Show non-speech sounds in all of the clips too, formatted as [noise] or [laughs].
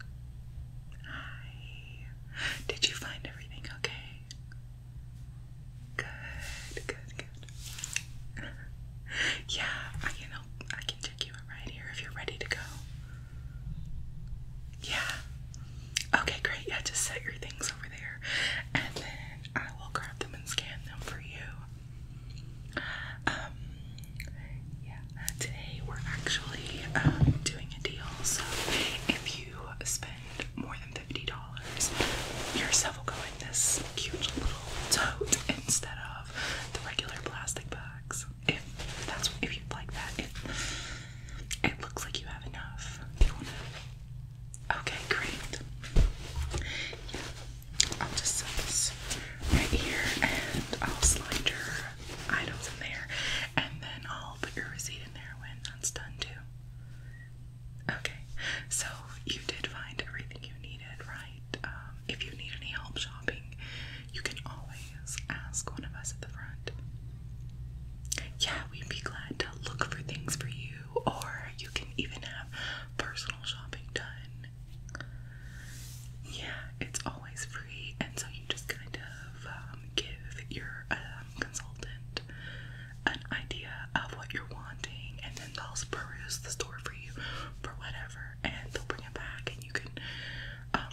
Hi. Did you find everything okay? Good, good, good. [laughs] yeah, I can I can take you right here if you're ready to go. Yeah. Okay, great. Yeah, just set your things over there, and then I will grab them and scan them for you. Um, yeah, today we're actually um, doing a deal. So if you spend more than fifty dollars, you're go in this cute little tote instead of the regular plastic bags. If that's if you like that, it it looks like you have enough. you wanna? Okay, great. Yeah. I'll just set this right here and I'll slide your items in there, and then I'll put your receipt in there when that's done too. Okay, so you did find everything you needed, right? Um, if you need any help shopping, you can always ask one of us at the front. Yeah, we'd be glad to look for things for you, or you can even have personal shopping done yeah, it's always free, and so you just kind of um, give your um, consultant an idea of what you're wanting, and then they'll peruse the store for you for whatever, and they'll bring it back, and you can um,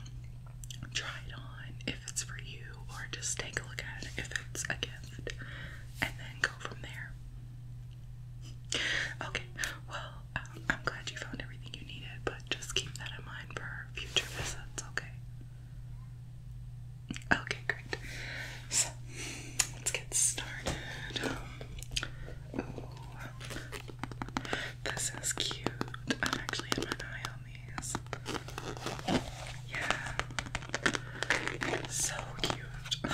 try it on if it's for you, or just take a look at it if it's a gift, and then go from there. Okay, well, I'm glad you found everything you needed, but just keep that in mind for future visits, okay? Okay, great. So, let's get started. this is cute. I've actually had my eye on these. Yeah, so cute.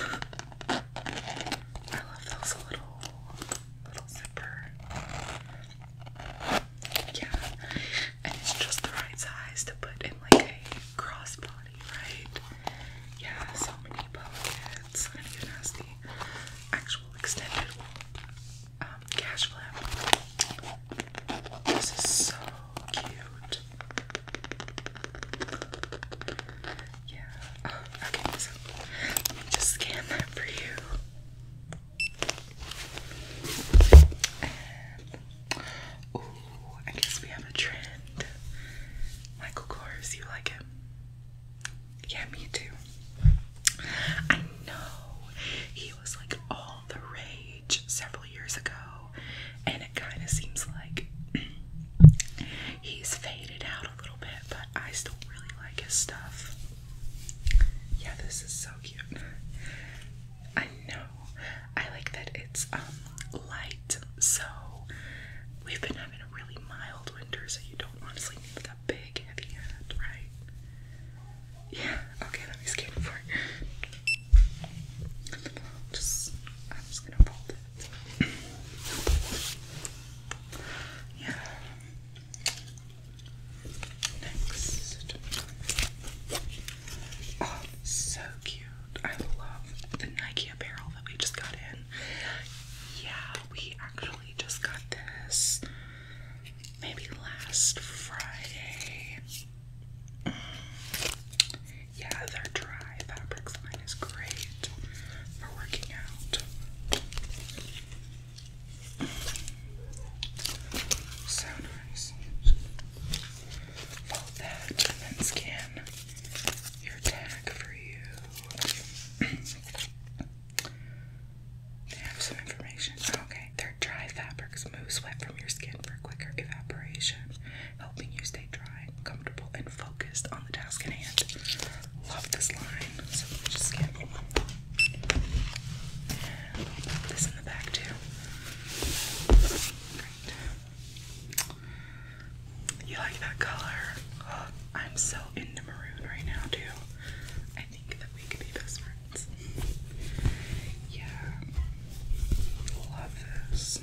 I love those little little zipper. Yeah, and it's just the right size to put in like a crossbody, right? Yeah, so many pockets. I don't ask the actual extended um, cash flap. This is so cute. Yeah. Oh, okay, so let me just scan that for you. ooh, I guess we have a trend. Michael Kors, you like him? Yeah, me too. I know he was like all the rage several years ago, and it kind of seems like He's faded out a little bit, but I still really like his stuff. Yeah, this is so cute. I know. I like that it's um light, so we've been having a really mild winter, so you don't want to sleep like a big heavy hat, right? Yeah, okay, let me scan for it. Just I'm just gonna fold it. Yeah. Next. Oh, so cute. I love the Nike apparel that we just got in. Yeah, we actually just got this maybe last Friday. Yeah, they're dry. Sky Fabrics line is great for working out. So nice. Fold that and then scan your tag for you. they have some information. Okay, they dry fabrics. Move sweat from your skin for quicker evaporation, helping you stay dry, comfortable, and on the task at hand. You like that color? I'm so into maroon right now too. I think that we could be best friends. Yeah. Love this.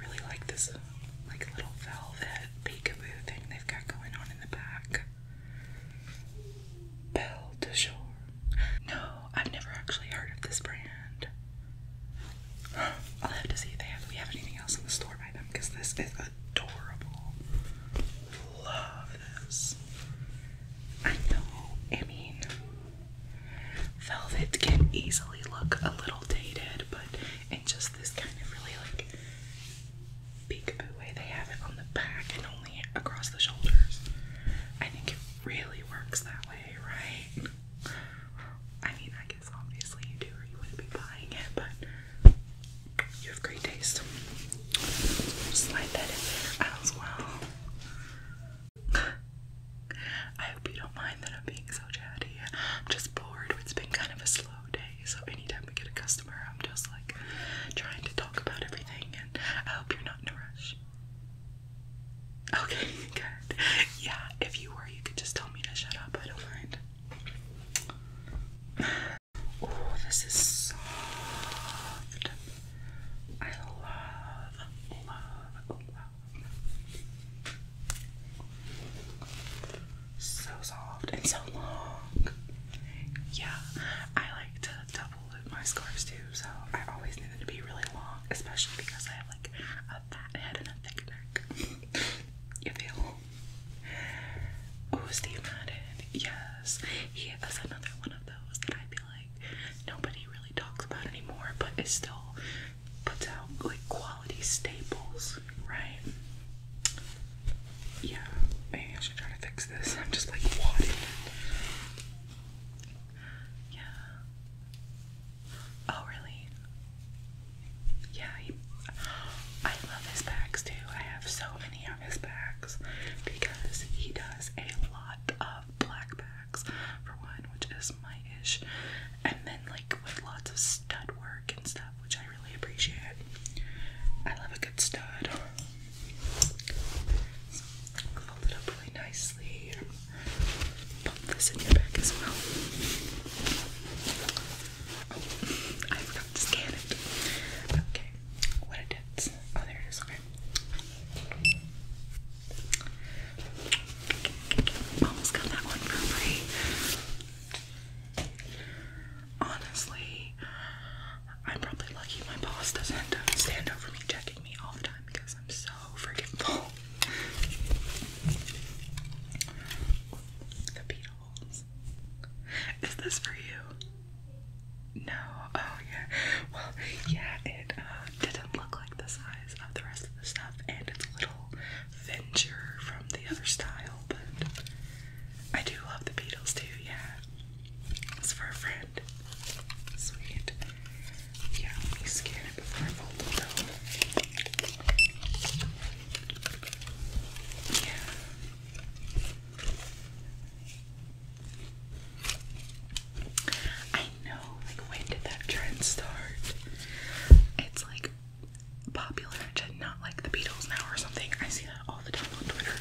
Really like this like little velvet peekaboo thing they've got going on in the back. Belle de Jour. No, I've never actually heard of this brand. I'll have to see if we have anything else in the store by them because this is adorable. Love this. I know, I mean, velvet can easily look a little dated, but in just this kind of really like peekaboo way they have it on the back and only across the shoulders. I think it really works that way, right? I mean, I guess obviously you do, or you wouldn't be buying it, but you have great taste. Slide that in there as well. I hope you don't mind that I'm being so chatty. I'm just bored. It's been kind of a slow day, so anytime we get a customer, I'm just like trying to talk about everything, and I hope you're not in a rush. Okay, [laughs] good. Yeah, if you were, you could just tell me to shut up. I don't mind. Oh, this is soft. I love, love, love so soft and so long. Yeah, I like to double loop my scarves too, so I always need them to be really long, especially because I have like a fat head and a thick neck. [laughs] you feel? Who's the Madden, yes. He is another one of those that I feel like nobody really talks about anymore, but is still puts out like quality staples, right? Yeah, maybe I should try to fix this. I'm just like wadding. Yeah. Oh really? Yeah, I love his bags too. I have so many of his bags because he does a lot of black bags for one, which is my ish, and then like with lots of stud work and stuff, which I really appreciate. I have a good stud. fold it up really nicely. Pop this in your bag as well. Oh, I forgot to scan it. Okay, what it is. Oh, there it is. Okay. Almost got that one for free. Honestly, I'm probably lucky my boss doesn't stand over me checking me all the time because I'm so forgetful. The Beatles. Is this for you? No. Oh yeah. Well, yeah. It uh, didn't look like the size of the rest of the stuff, and it's a little venture from the other style, but I do love the Beatles too, yeah. It's for a friend. Sweet. Yeah, let me scan it before I fold it though. Yeah. I know, like, when did that trend start? It's like popular to not like the Beatles now or something. I see that all the time on Twitter.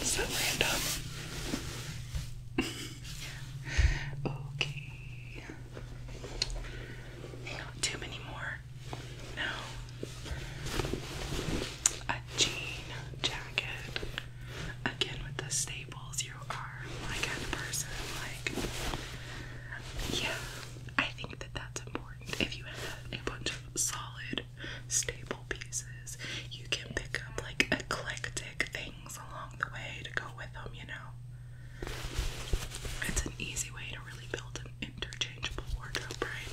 It's so random. [laughs] okay. Not too many more. No. A jean jacket again with the staples, you are like a person. Like, yeah, I think that that's important. If you have a bunch of solid staple pieces, you can pick up like eclectic things along the way to go with them, you know? It's an easy way to really build an interchangeable wardrobe, right?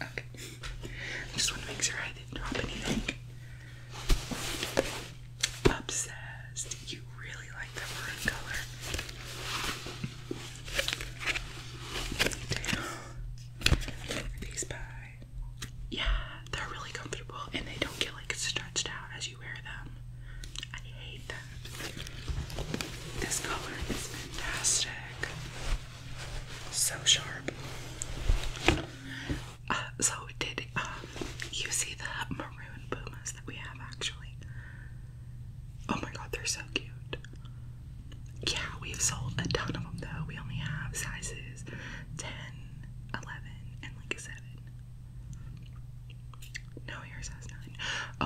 Okay. I just want to make sure I didn't drop anything. Obsessed. You really like the maroon color. These by. Yeah, they're really comfortable and they don't get like stretched out as you wear them. I hate them. This color is fantastic. So sharp. Uh, so did um, you see the maroon pumas that we have actually? Oh my god, they're so cute. Yeah, we've sold a ton of them though. We only have sizes 10, 11, and like 7. No, yours has 9.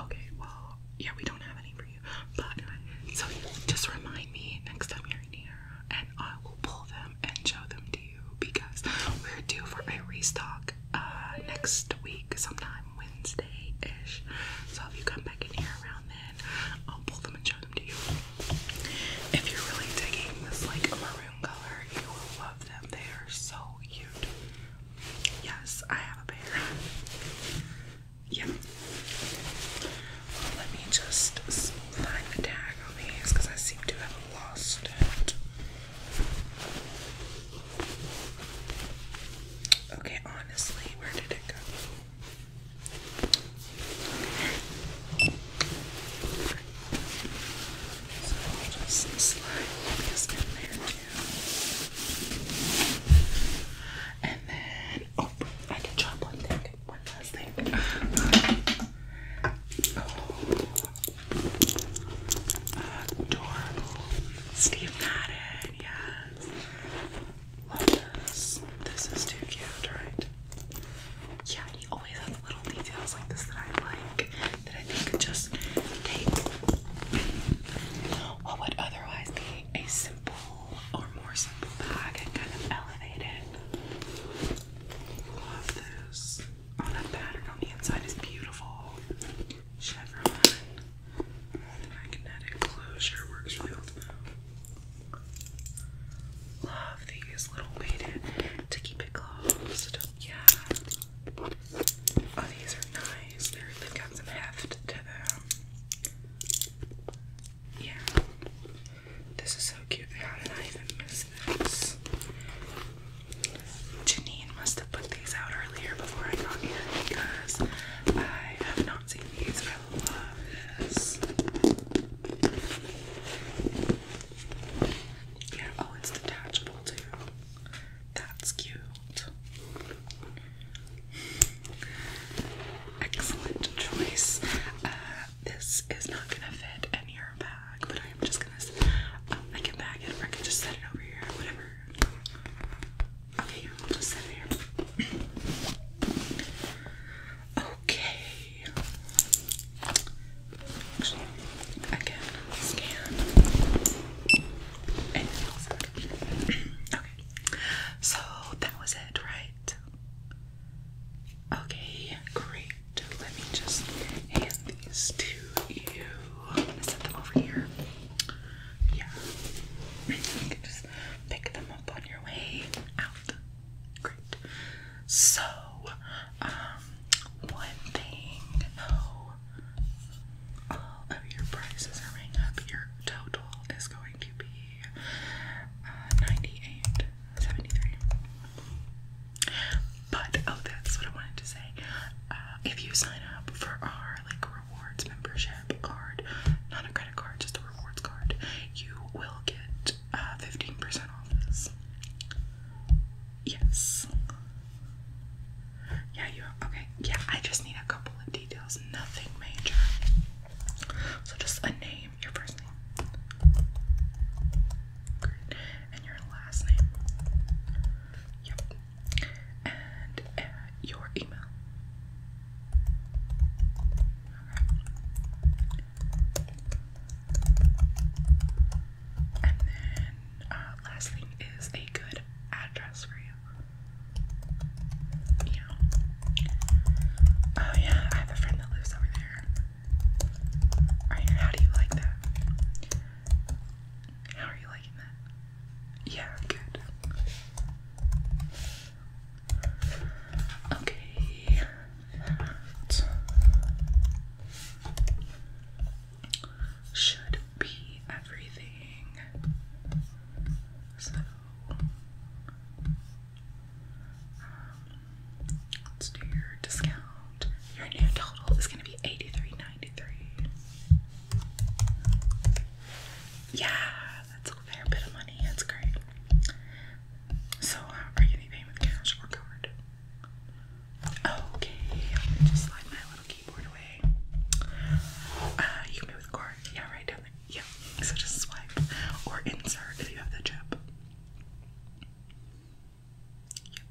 Okay, well, yeah, we don't have any for you but so yeah, just remind me next time you're in here, and I will pull them and show them to you because we're due for a restock uh, next week, sometime Wednesday ish. So if you come back in here around then, I'll pull them and show them to you. If you're really digging this like maroon color, you will love them. They are so cute. Yes, I have a pair. Yeah. let me just find the tag on these because I seem to have lost it. Okay, honestly, where did it go? So I'll just slide this in there and then, oh, I can try one thing, one last thing. Oh, adorable. Steve Madden, yes. this. is too cute, right? Yeah, he always has little details like this that I like that I think could just take what would otherwise be a simple or more simple bag and kind of elevate it. Love this. Oh, that pattern on the inside is beautiful. Chevron. The magnetic closure works really well. Love these little weighted to keep it closed. Yeah. Oh, these are nice. They're, have got some heft to them. Yeah. This is so cute. They did I even miss this? Janine must have put these out earlier before I got here because I have not seen these. I love this. Yeah, oh, it's detachable too. That's cute. Excellent choice. Uh, this is not gonna fit in your bag, but I am just gonna. Um, I bag it, or can just set it over here, whatever. Okay, just set here. okay. Actually, again, scan okay so that was it right okay great let me just hand these to you set them over here yeah you can just pick them up on your way out great so um one thing oh, all of your prices are going up. Your total is going to be uh, 98.73. But oh, that's what I wanted to say. Uh, if you sign up for our like rewards membership card, not a credit card, just a rewards card, you will get 15% uh, off this. Yes. Yeah, you Okay. Yeah, I just need a couple of details. Nothing major. So just a name, your first name. And your last name. Yep. And uh, your email. Okay. And then uh, last thing is a good address for you. You know. Oh yeah, I have a friend that lives over there. Alright, how do you like that? How are you liking that? Yeah, good. Okay. That should be everything. So, um, let's do your discount. Your new total is going to be 83 Yeah, that's a fair bit of money. That's great. So, uh, are you paying with cash or card? Okay, I'm gonna just slide my little keyboard away. Uh, you can pay with card. Yeah, right down there. Yeah, so just swipe or insert if you have the chip.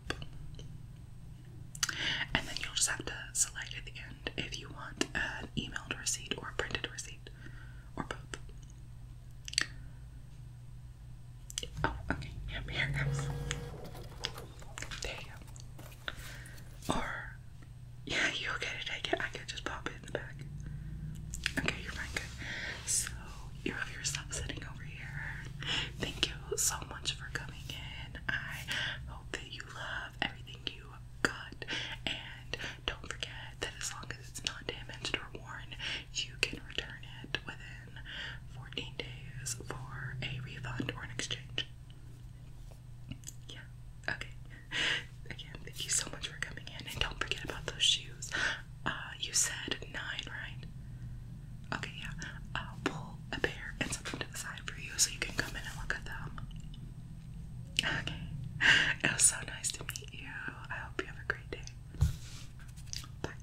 Yep. And then you'll just have to select at the end if you want an emailed receipt or a printed receipt or both. Oh, okay. Yep, here it There you go. Or, yeah, you okay to take it? I could just pop it in the back. Okay, you're fine. Good. So, you have your sitting over here. Thank you so much for coming in. I hope that you love everything you got. And don't forget that as long as it's not damaged or worn, you can return it within 14 days for a refund or an exchange. Yeah, okay. Again, thank you so much for coming in, and don't forget about those shoes. Uh, you said nine, right? Okay, yeah. I'll pull a pair and set them to the side for you so you can come in and look at them. Okay, it was so nice to meet you. I hope you have a great day. Bye.